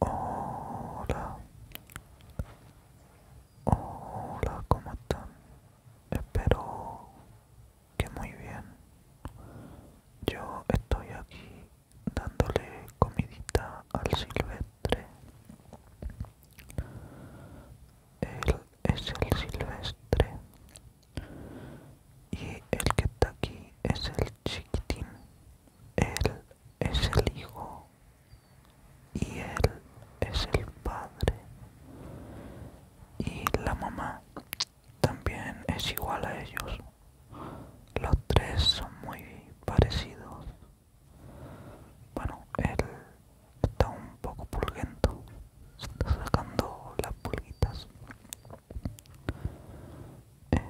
Hola, hola, ¿cómo están? Espero que muy bien. Yo estoy aquí dándole comidita al silvestre. Él es el silvestre. Y el que está aquí es el chiquitín. Él es el Hijo y Él es el Padre. Y la mamá también es igual a ellos. Los tres son muy parecidos. Bueno, él está un poco pulguento. Se está sacando las pulguitas. Eh,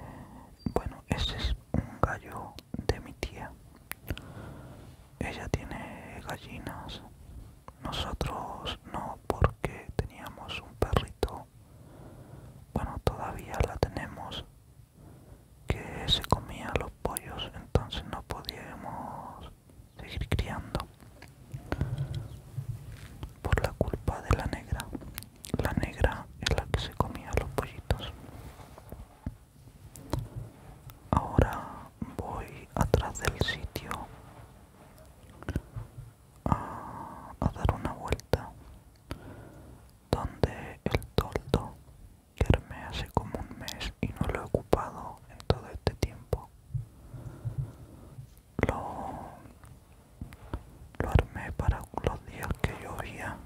bueno ese es un gallo de mi tía ella tiene gallinas nosotros no porque teníamos un perrito bueno todavía la tenemos que se comía los pollos entonces no podíamos seguir criando por la culpa de la negra la negra es la que se comía los pollitos. Ahora voy atrás del sitio a, dar una vuelta donde el toldo que armé hace como un mes y no lo he ocupado en todo este tiempo. Lo, lo armé para los días que llovía,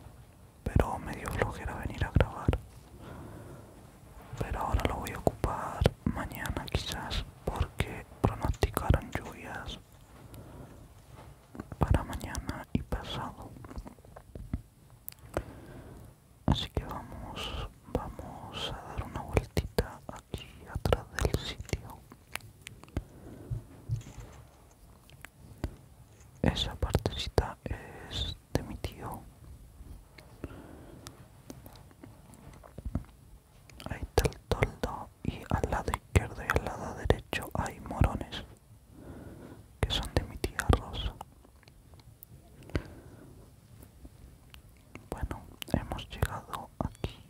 pero me dio flojera venir a grabar. Pero ahora lo voy a ocupar mañana quizás porque pronosticaron lluvias para mañana y pasado. Así que vamos, vamos a dar una vueltita aquí atrás del sitio esa partecita es de mi tío ahí está el toldo y al lado izquierdo y al lado derecho hay morones que son de mi tía Rosa bueno hemos llegado aquí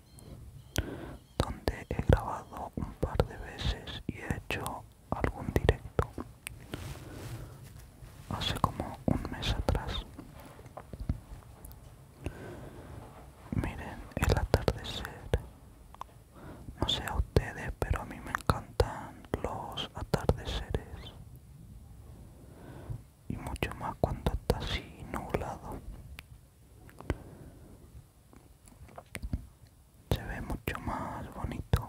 donde he grabado un par de veces y he hecho algún directo hace como un mes atrás miren el atardecer no sé a ustedes pero a mí me encantan los atardeceres y mucho más cuando está así nublado se ve mucho más bonito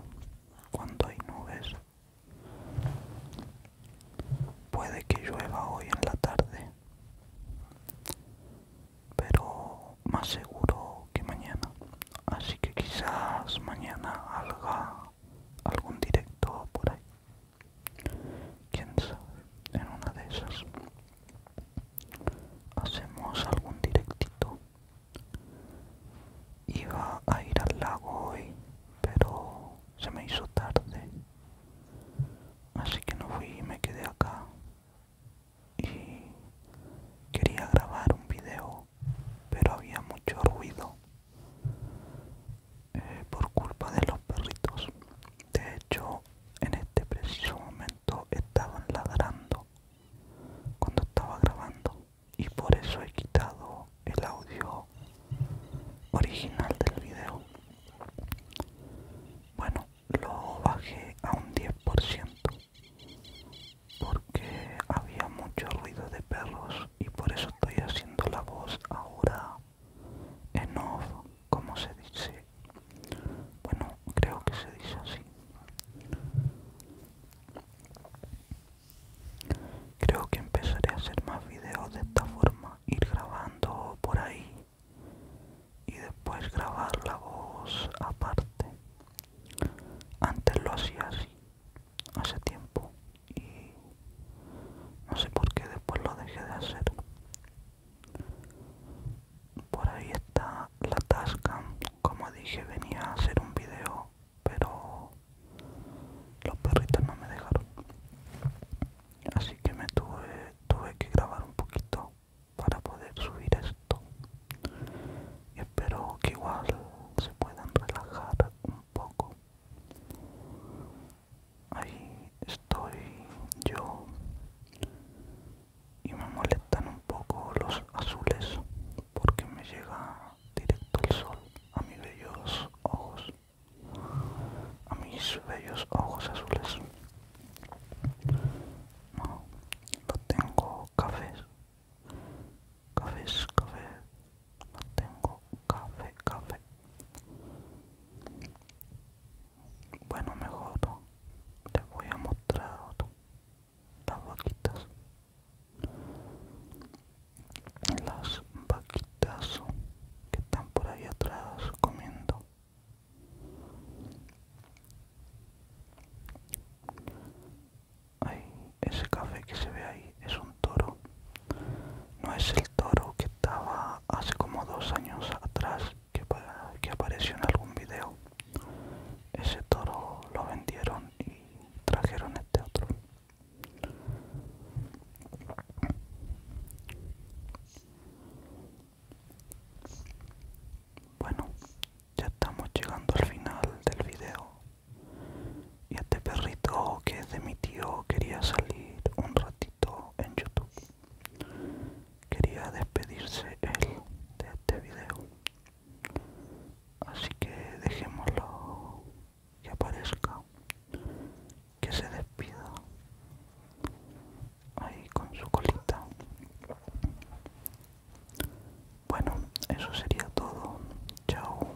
cuando hay nubes puede que llueva hoy en la tarde pero más seguro que mañana así que quizás mañana haga algún directo por ahí quién sabe en una de esas hacemos algún directito iba a ir al lago hoy pero se me hizo tarde así que no fui y me quedé acá y quería grabar un video pero había mucho ruido eh, por culpa de los perritos de hecho en este preciso momento estaban ladrando cuando estaba grabando y por eso he quitado el audio original del video bueno lo bajé a un 10% porque había mucho ruido de perros y por eso estoy haciendo la voz ahora en off como se dice bueno, creo que se dice así. Creo que empezaré a hacer más videos de esta forma, ir grabando por ahí y después grabar la voz aparte. Antes lo hacía así, hace tiempo, y no sé por qué después lo dejé de hacer. Por ahí está la Tasca, Como dije, venía a hacer un video, pero los perritos no me dejaron. Así que me tuve, tuve que grabar un poquito para poder subir esto. Y espero que igual se puedan relajar un poco. Ahí estoy yo y me molestan un poco los azules porque me llega directo el sol a mis bellos ojos a mis bellos ojos azules no, tengo cafés cafés, café no tengo café, café bueno, mejor te voy a mostrar las vaquitas. Las vaquitas que están por ahí atrás comiendo. ese café que se ve ahí es un toro. No es el toro que estaba hace como dos años atrás que, que apareció en algún video ese toro lo vendieron y trajeron este otro bueno ya estamos llegando al final del video y este perrito que es de mi tío quería salir un ratito en youtube quería despedirse él de este video así que dejémoslo que aparezca que se despida ahí con su colita bueno eso sería todo chao